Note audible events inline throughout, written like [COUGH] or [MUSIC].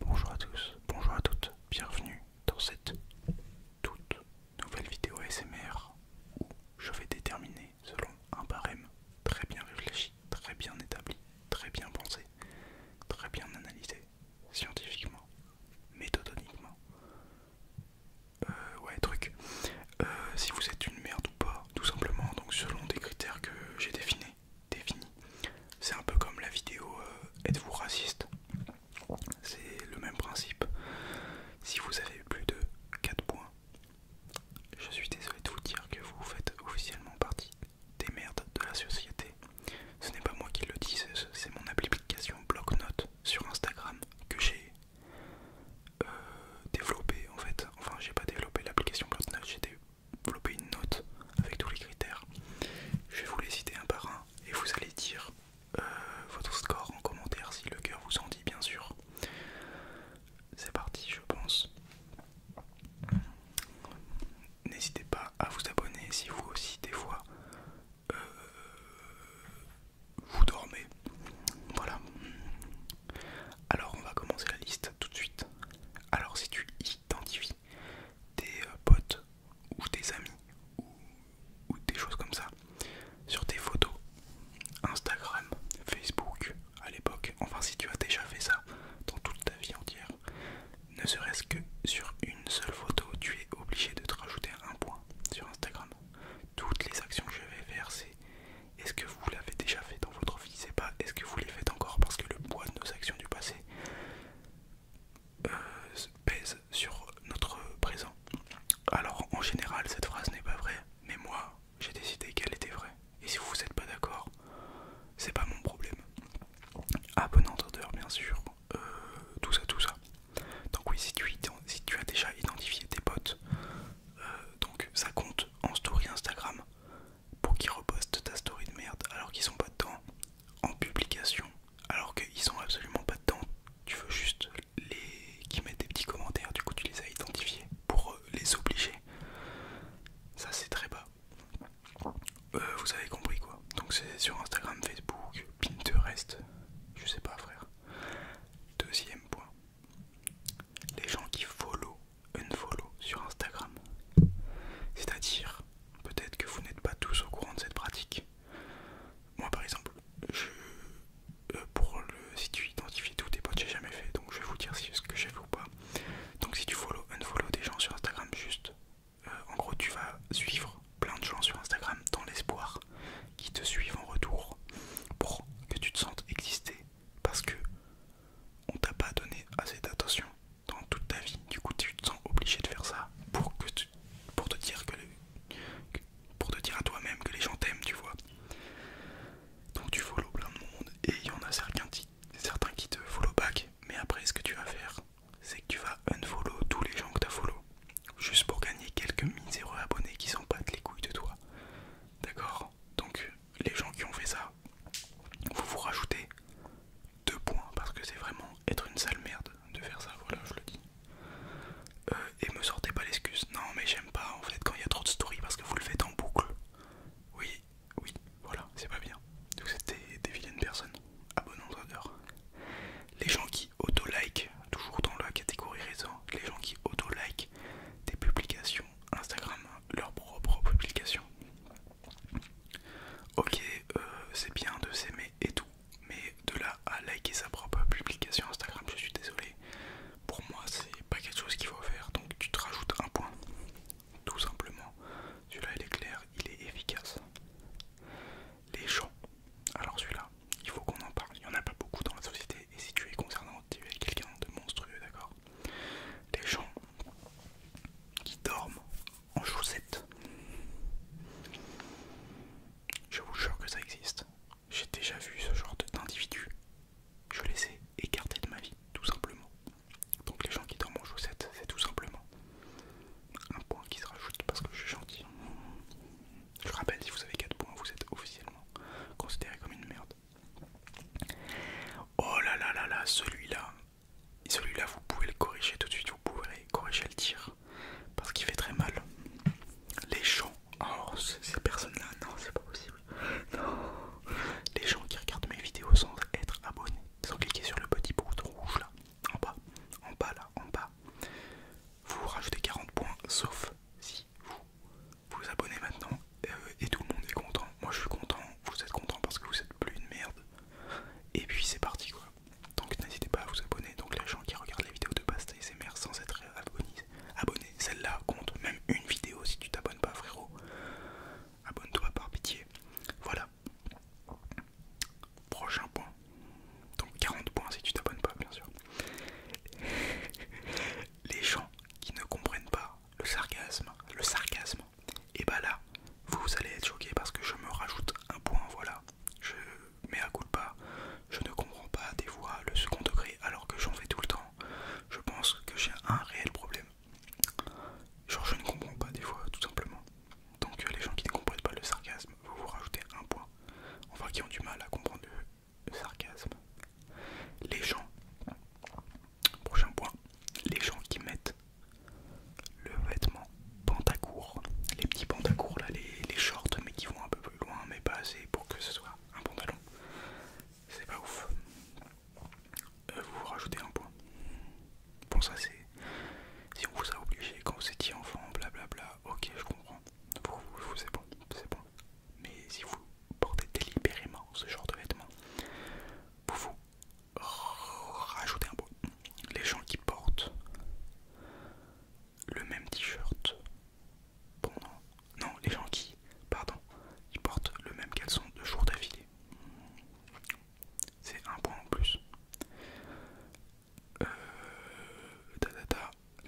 Bonjour à tous, bonjour à toutes, bienvenue dans cette toute nouvelle vidéo ASMR où je vais déterminer selon un barème très bien réfléchi, très bien établi, très bien pensé, très bien analysé, scientifiquement, méthodoniquement, euh, ouais truc, euh, si vous êtes une merde ou pas, tout simplement, donc selon des critères que j'ai définis c'est un peu comme la vidéo euh, Êtes-vous raciste C'est le même principe. Si vous avez plus de 4 points, je suis désolé de vous dire que vous faites officiellement partie des merdes de la société. Ce n'est pas moi qui le dis, c'est mon application Bloc-Notes sur Instagram que j'ai développé euh, développée en fait. Enfin, j'ai pas développé l'application Bloc-Notes, développer une note avec tous les critères. Je vais vous les citer un par un et vous allez dire euh, votre score en commentaire si le cœur vous en dit bien sûr. C'est parti je pense. N'hésitez pas à vous abonner si vous aussi des fois euh, vous dormez. Voilà. Alors on va commencer la liste tout de suite. Alors si tu identifies des euh, potes ou des amis ou, des choses comme ça sur tes photos Instagram, Facebook à l'époque, enfin si tu as déjà fait ça dans toute ta vie entière, ne serait-ce que sur une seule photo, tu es obligé de te rajouter un point sur Instagram. Toutes les actions que je vais faire, c'est est-ce que vous l'avez déjà fait dans votre vie, c'est pas est-ce que vous les faites encore parce que le poids de nos actions du passé euh, pèse sur notre présent. Alors en général cette phrase n'est pas vraie, mais moi j'ai décidé qu'elle était vraie. Et si vous n'êtes pas d'accord, c'est pas mon problème. À bon bien sûr, euh, tout ça, tout ça. Donc oui, si tu, as déjà identifié tes potes, euh, donc ça compte en story Instagram pour qu'ils repostent ta story de merde alors qu'ils sont pas de temps en publication alors qu'ils sont absolument pas dedans. Tu veux juste les qui mettent des petits commentaires, du coup tu les as identifiés pour euh, les obliger. Ça c'est très bas. Euh, vous avez compris quoi. Donc c'est sur Instagram, Facebook, Pinterest, je sais pas frère. Deuxième point. Les gens qui follow, unfollow sur Instagram. C'est-à-dire Peut-être que vous n'êtes pas tous au courant de cette pratique. Moi par exemple, euh, si tu identifies tous tes potes, j'ai jamais fait, donc je vais vous dire si ce que j'ai fait ou pas. Donc si tu follow, follow des gens sur Instagram, juste, euh, en gros tu vas suivre plein de gens sur Instagram dans l'espoir qu'ils te suivent en retour pour que tu te sentes exister parce que on t'a pas donné assez d'attention dans toute ta vie. Du coup, tu te sens obligé de faire ça pour, que tu, pour te dire que pour te dire à toi-même que les gens t'aiment, tu vois. Donc tu follow plein de monde et il y en a certains, qui te follow back. Mais après, ce que tu vas faire, c'est que tu vas unfollow tous les gens que tu as follow juste pour gagner quelques miséreux abonnés qui s'en battent les couilles de toi. D'accord Donc les gens qui ont fait ça, vous vous rajoutez deux points parce que c'est vraiment être une sale merde de faire ça, voilà, je le dis. Euh, et me sortez pas l'excuse. Non, mais j'aime pas en fait quand il y a trop de stories parce que vous le faites en boucle. Oui, oui, voilà, c'est pas bien. Donc, c'était des, vilaines personnes, à bon Les gens qui auto-like, toujours dans la catégorie raison, les gens qui auto-like des publications Instagram, leurs propres publications, Ok, euh, c'est bien de s'aimer et tout, mais de là à liker sa propre publication Instagram, je suis désolé. Pour moi, c'est pas quelque chose qu'il faut faire, donc tu te rajoutes un point. Tout simplement. Celui-là, il est clair, il est efficace. Les gens. Alors celui-là, il faut qu'on en parle. Il n'y en a pas beaucoup dans la société, et si tu es concernant, tu es quelqu'un de monstrueux, d'accord Les gens qui dorment en chaussettes. Je vous jure que ça existe. J'ai déjà vu ce genre d'individu. Je les ai écartés de ma vie, tout simplement. Donc les gens qui dorment en chaussettes, c'est tout simplement un point qui se rajoute parce que je suis gentil. Je rappelle, si vous avez 4 points, vous êtes officiellement considéré comme une merde. Oh là là là là, celui-là, celui-là vous pouvez le corriger tout de suite, vous pouvez corriger le tir parce qu'il fait très mal. Les gens, oh ces personnes-là, non c'est pas possible. Non. Les gens qui regardent mes vidéos sans être abonnés, sans cliquer sur le petit bouton rouge là, en bas, en bas là, en bas, vous rajoutez 40 points sauf si vous vous abonnez maintenant euh, et tout le monde est content. Moi je suis content, vous êtes content parce que vous êtes plus une merde. Et puis c'est parti quoi. Donc n'hésitez pas à vous abonner. Donc les gens qui regardent les vidéos de pasta et mères sans être abonné, abonnés celle-là compte même une vidéo si tu t'abonnes pas frérot. Abonne-toi par pitié. Voilà. Prochain point. Donc 40 points si tu t'abonnes pas bien sûr. [LAUGHS] Les gens qui ne comprennent pas le sarcasme, le sarcasme, et bah là, vous allez être choqué parce que je me rajoute un point, voilà. Je mets à coup de pas, je ne comprends pas des fois le second degré alors que j'en fais tout le temps. Je pense que j'ai un réel problème. Genre je ne comprends pas des fois tout simplement. Donc euh, les gens qui ne comprennent pas le sarcasme, vous vous rajoutez un point. Enfin qui ont du mal à comprendre le sarcasme. Les gens, prochain point, les gens qui mettent le vêtement pantacourt, les petits pantacourts là, les, shorts mais qui vont un peu plus loin mais pas assez pour que ce soit un pantalon, c'est pas ouf. Euh, vous rajoutez un point. Bon ça c'est, si on vous a obligé quand vous étiez enfant, blablabla, ok je comprends, pour vous, vous c'est bon, c'est bon. Mais si vous portez délibérément ce genre de vêtements, pour vous rajouter un point. Les gens qui portent le même t-shirt Non, les gens qui... Pardon. Qui portent le même caleçon de jours d'affilée. C'est un point en plus. Euh,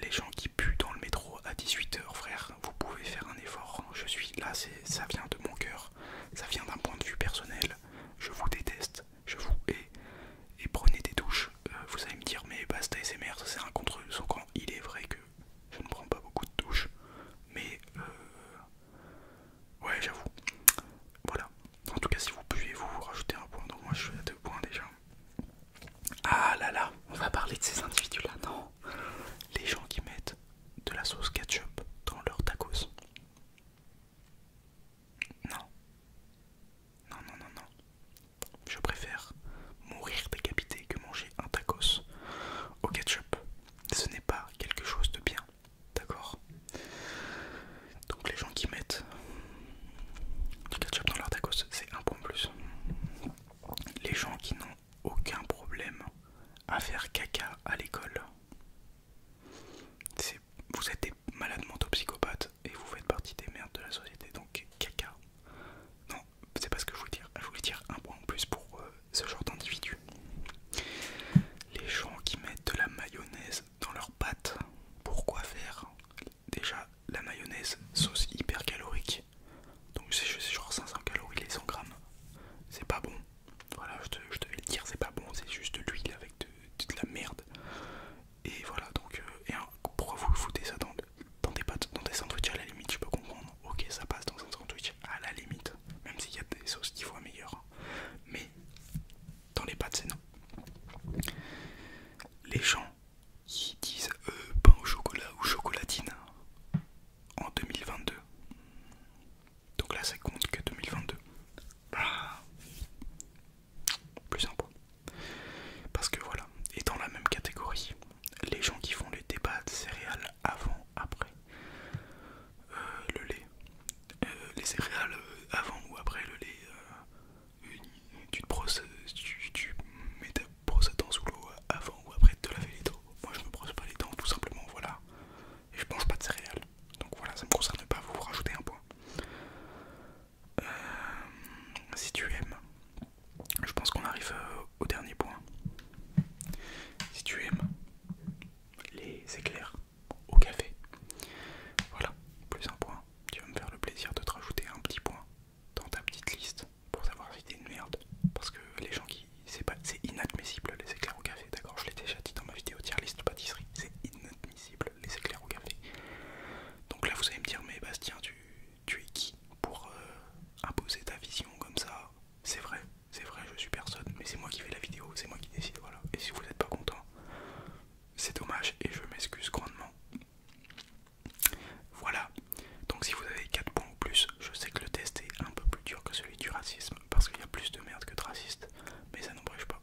les gens qui puent dans le métro à 18h, frère, vous pouvez faire un effort. Je suis là, ça vient de mon cœur, ça vient d'un point de vue personnel. Je vous déteste je vous et, prenez des douches. Euh, vous allez me dire mais basta SMR, ça c'est un contre son camp. il est vrai que je ne prends pas beaucoup de douches. Mais euh, ouais j'avoue. Voilà. En tout cas si vous pouviez vous rajouter un point, donc moi je suis à deux points déjà. Ah là là, on va parler de ces individus-là, non Les gens qui mettent de la sauce ketchup dans leurs tacos. Non. Non, non, non, non. Je préfère mourir décapité que manger un tacos au ketchup. Ce n'est pas quelque chose de bien. D'accord Donc les gens qui mettent du ketchup dans leur tacos, c'est un point plus. Les gens qui n'ont aucun problème à faire caca à l'école, vous êtes malade malades psychopathe et vous faites partie des merdes de la société, donc caca. Non, c'est pas ce que je voulais dire. Je voulais dire un point en plus pour euh, ce genre d'individu. Les gens qui mettent de la mayonnaise dans leurs pâtes, pourquoi faire Déjà, la mayonnaise, sauce hyper calorique. Donc c'est genre 500 calories les 100 grammes. C'est pas bon. Voilà, je, te, je devais le dire, c'est pas bon, c'est juste de l'huile avec de, de la merde. Et voilà, donc, euh, pourquoi vous foutez ça dans, des pâtes, dans des sandwichs à la limite, je peux comprendre. Ok, ça passe dans un sandwich à la limite, même s'il y a des sauces qui voient meilleures. Hein. Mais dans les pâtes, c'est non. Les gens qui disent euh, pain au chocolat ou chocolatine hein, en 2022. Donc là, ça compte que 2022 plus un Parce que voilà, et dans la même catégorie, les gens qui font les débats de céréales avant, après euh, le lait, euh, les céréales euh, avant ou après le lait, tu te brosses, tu, mets ta brosse à dents sous l'eau avant ou après de te laver les dents. Moi je me brosse pas les dents tout simplement, voilà, et je mange pas de céréales. Donc voilà, ça me concerne pas, vous rajoutez un point. Euh, si tu aimes, je pense qu'on arrive euh, au dernier point. Si tu aimes les éclairs au café, voilà, plus un point. Tu vas me faire le plaisir de te rajouter un petit point dans ta petite liste pour savoir si une merde. Parce que les gens qui. C'est inadmissible les éclairs au café, d'accord Je l'ai déjà dit dans ma vidéo tier liste pâtisserie, c'est inadmissible les éclairs au café. Donc là, vous allez me dire, mais Bastien, tu, tu es qui pour euh, imposer ta vision comme ça C'est vrai, c'est vrai, je suis personne, mais c'est moi qui fais la vidéo, c'est moi qui décide, voilà. Et si vous n'êtes pas content, c'est dommage et je m'excuse grandement. Voilà, donc si vous avez 4 points ou plus, je sais que le test est un peu plus dur que celui du racisme parce qu'il y a plus de merde que de racistes, mais ça n'empêche pas